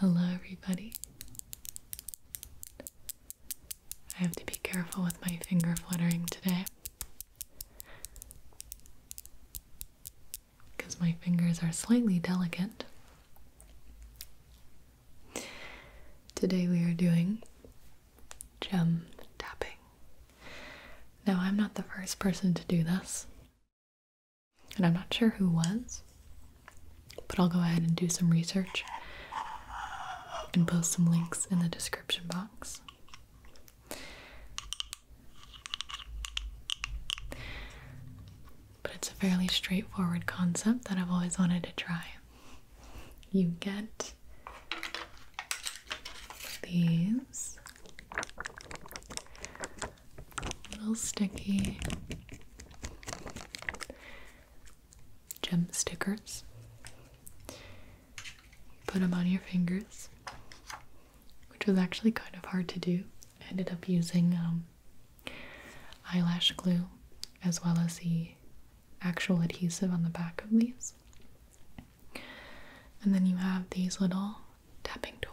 Hello, everybody. I have to be careful with my finger fluttering today because my fingers are slightly delicate. Today, we are doing gem tapping. Now, I'm not the first person to do this and I'm not sure who was, but I'll go ahead and do some research and post some links in the description box. But it's a fairly straightforward concept that I've always wanted to try. You get these little sticky gem stickers. Put them on your fingers, which was actually kind of hard to do. I ended up using um, eyelash glue as well as the actual adhesive on the back of these. And then you have these little tapping tools.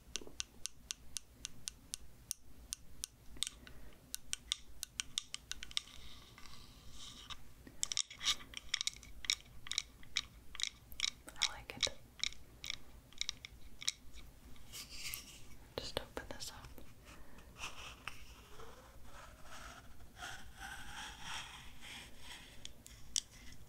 I like it. Just open this up.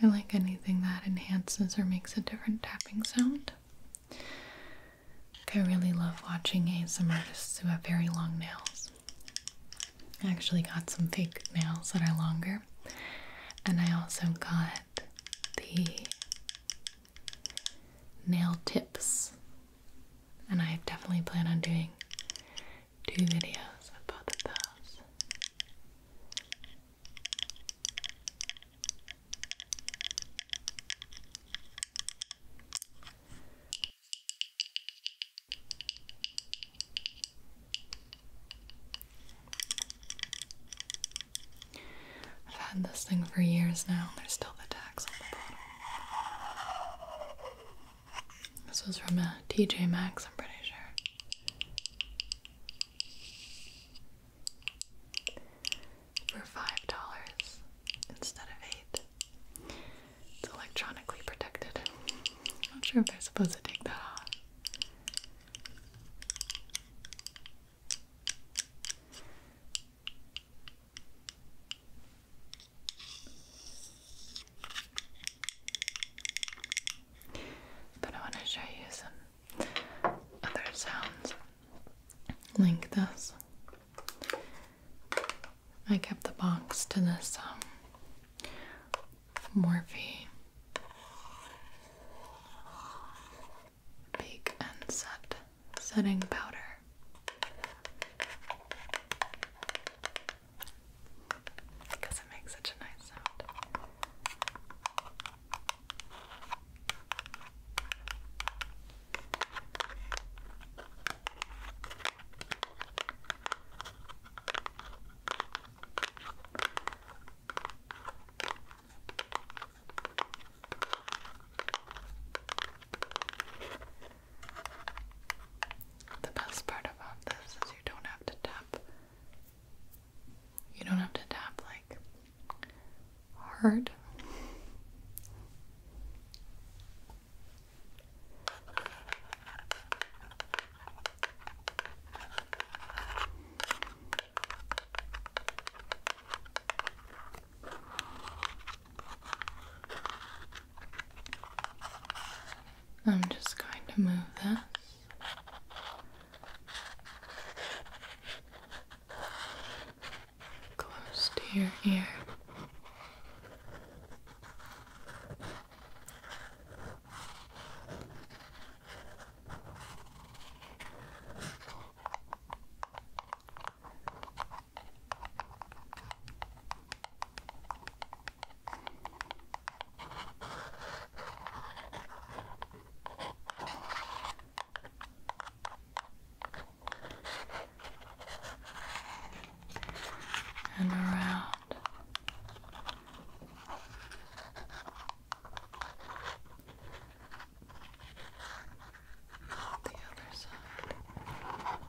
I like anything that enhances or makes a different tapping sound. I really love watching ASMR artists who have very long nails. I actually got some fake nails that are longer, and I also got the nail tips, and I definitely plan on doing do videos of those. I've had this thing for years now, there's still the tags on the bottle. This was from a uh, TJ Maxx, I'm pretty sure. For five dollars instead of eight. It's electronically protected. I'm not sure if they're supposed to take that off. But I want to show you some other sounds like this. I kept the box to this um, Morphe Bake and Set setting powder because it makes such a nice sound. The best part about this is you don't have to tap. You don't have to tap like hard. I'm just going to move this. Close to your ear and around. The other side.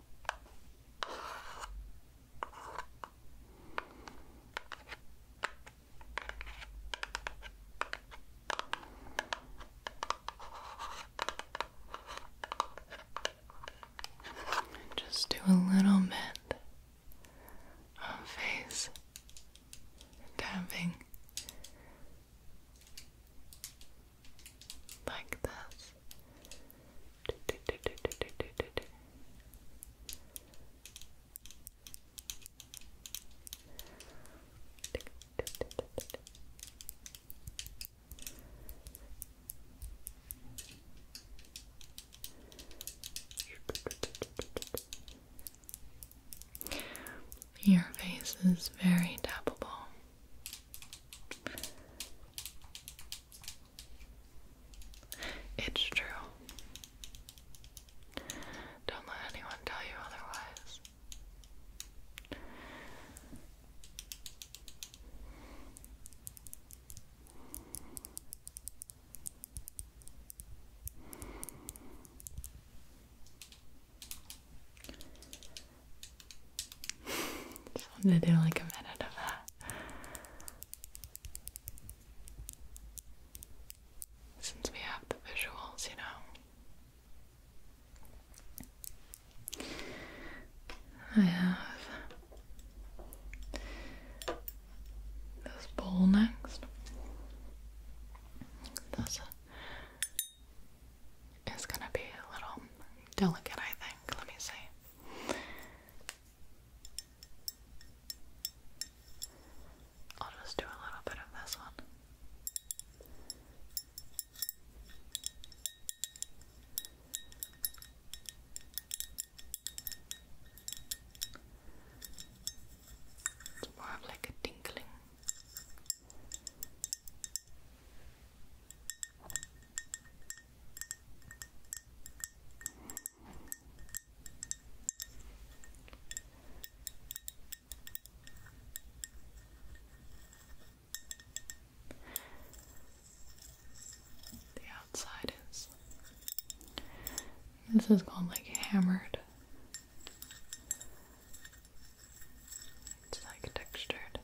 Just do a little bit of face tapping like this. Your face is very tappable. It's true. Don't let anyone tell you otherwise. Just wanted to do like a minute of that. Since we have the visuals, you know. I have this bowl next. This is gonna be a little delicate, I think. Let me see. I'll just do a little bit of this one. It's more of like a tinkling. The outside is this is called like hammered. It's like textured.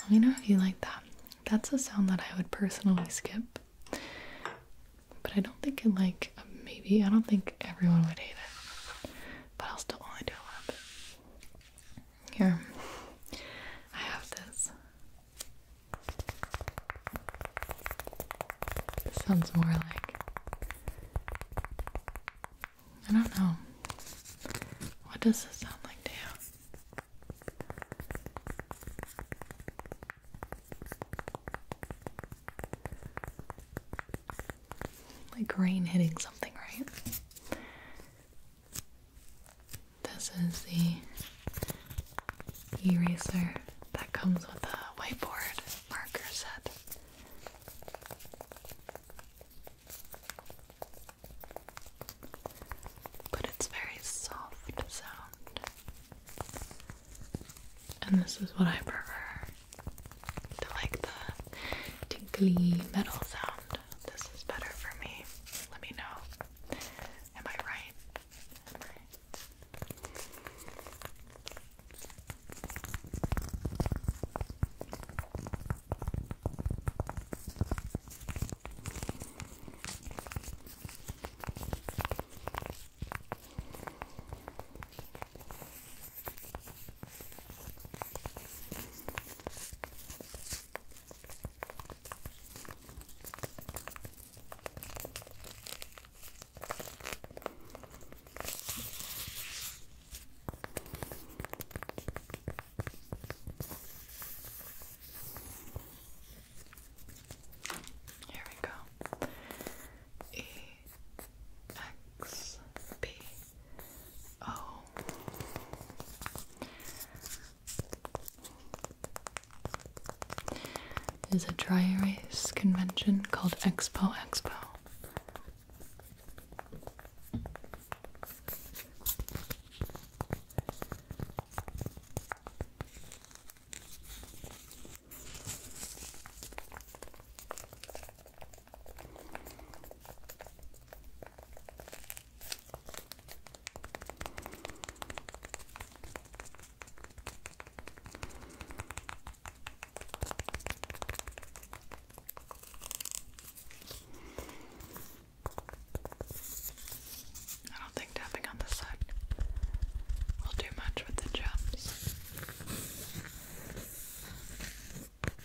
Let me know if you like that. That's a sound that I would personally skip. But I don't think it like maybe I don't think everyone would hate it. But I'll still only do a little bit. Here, I have this. This sounds more like. I don't know. What does this sound like to you? Like rain hitting something, right? This is the eraser that comes with the whiteboard marker set. But it's very soft sound. And this is what I prefer. To like the tinkly metal sound this is better for me. Let me know. Am I right? Here we go. E X P Oh. There's a dry erase convention called Expo Expo. I don't think tapping on the side will do much with the jumps.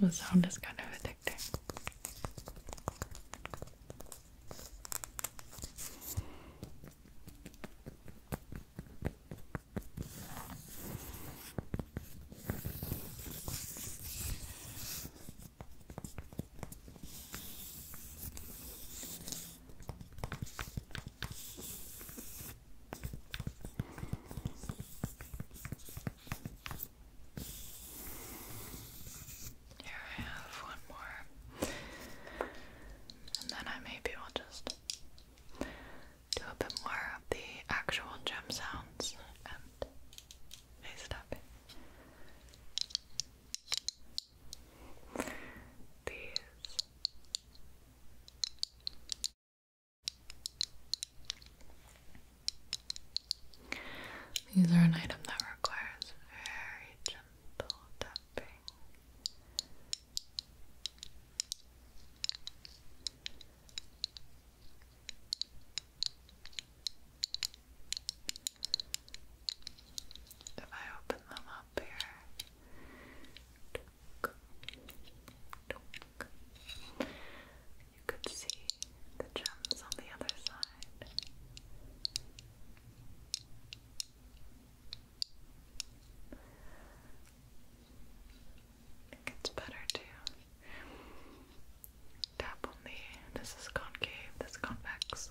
The sound is kind of addictive. Here I have one more, and then I maybe will just do a bit more of the actual gem sounds and face it up. These these are an item that requires very gentle tapping. If I open them up here, you could see the gems on the other side. It gets better to tap on the. This is concave, this is convex.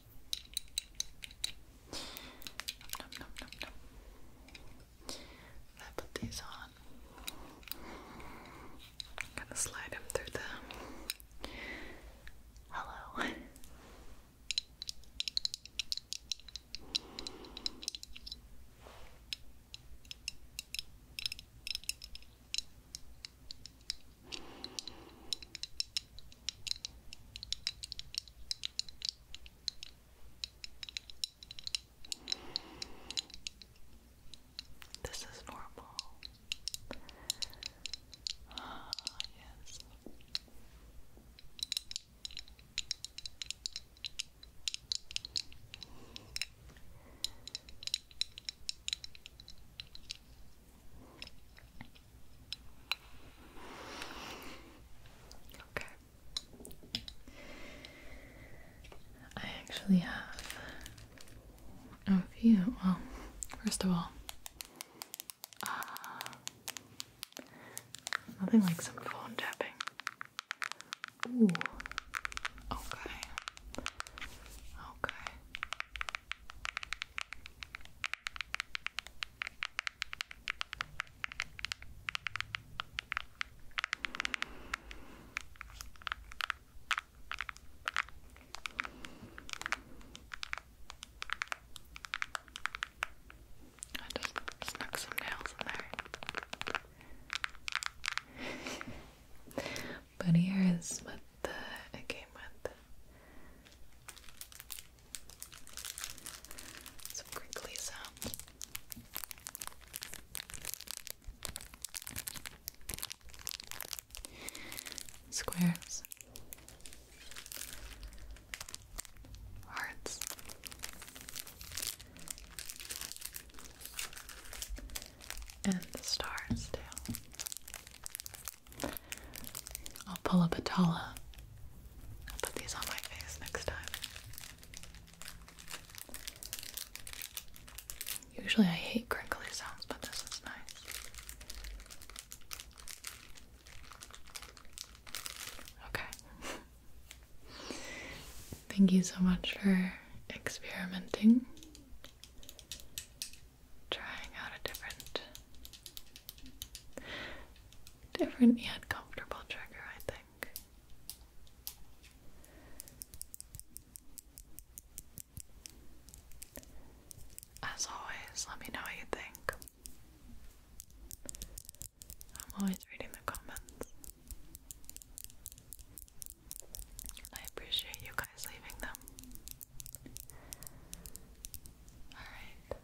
I put these on. am gonna slide them through the hello. This is normal. Ah, yes. Okay. I actually have a few. Well, first of all, uh, nothing like some phone tapping. Ooh. Okay. Okay. I just snuck some nails in there. but here is what the, it came with. Some crinkly sounds. Squares. Hearts. And the stars, too. I'll pull up a Tala. I'll put these on my face next time. Usually I hate crinkly sounds, but this is nice. Okay. Thank you so much for experimenting, trying out a different Different yet comfortable trigger, I think. As always, let me know what you think. I'm always reading the comments. I appreciate you guys leaving them. Alright.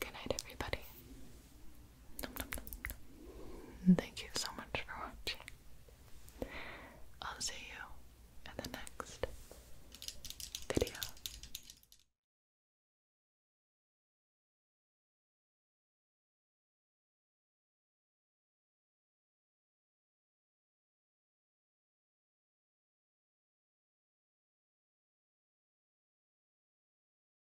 Good night, everybody. Thank you so much for watching. I'll see you in the next video.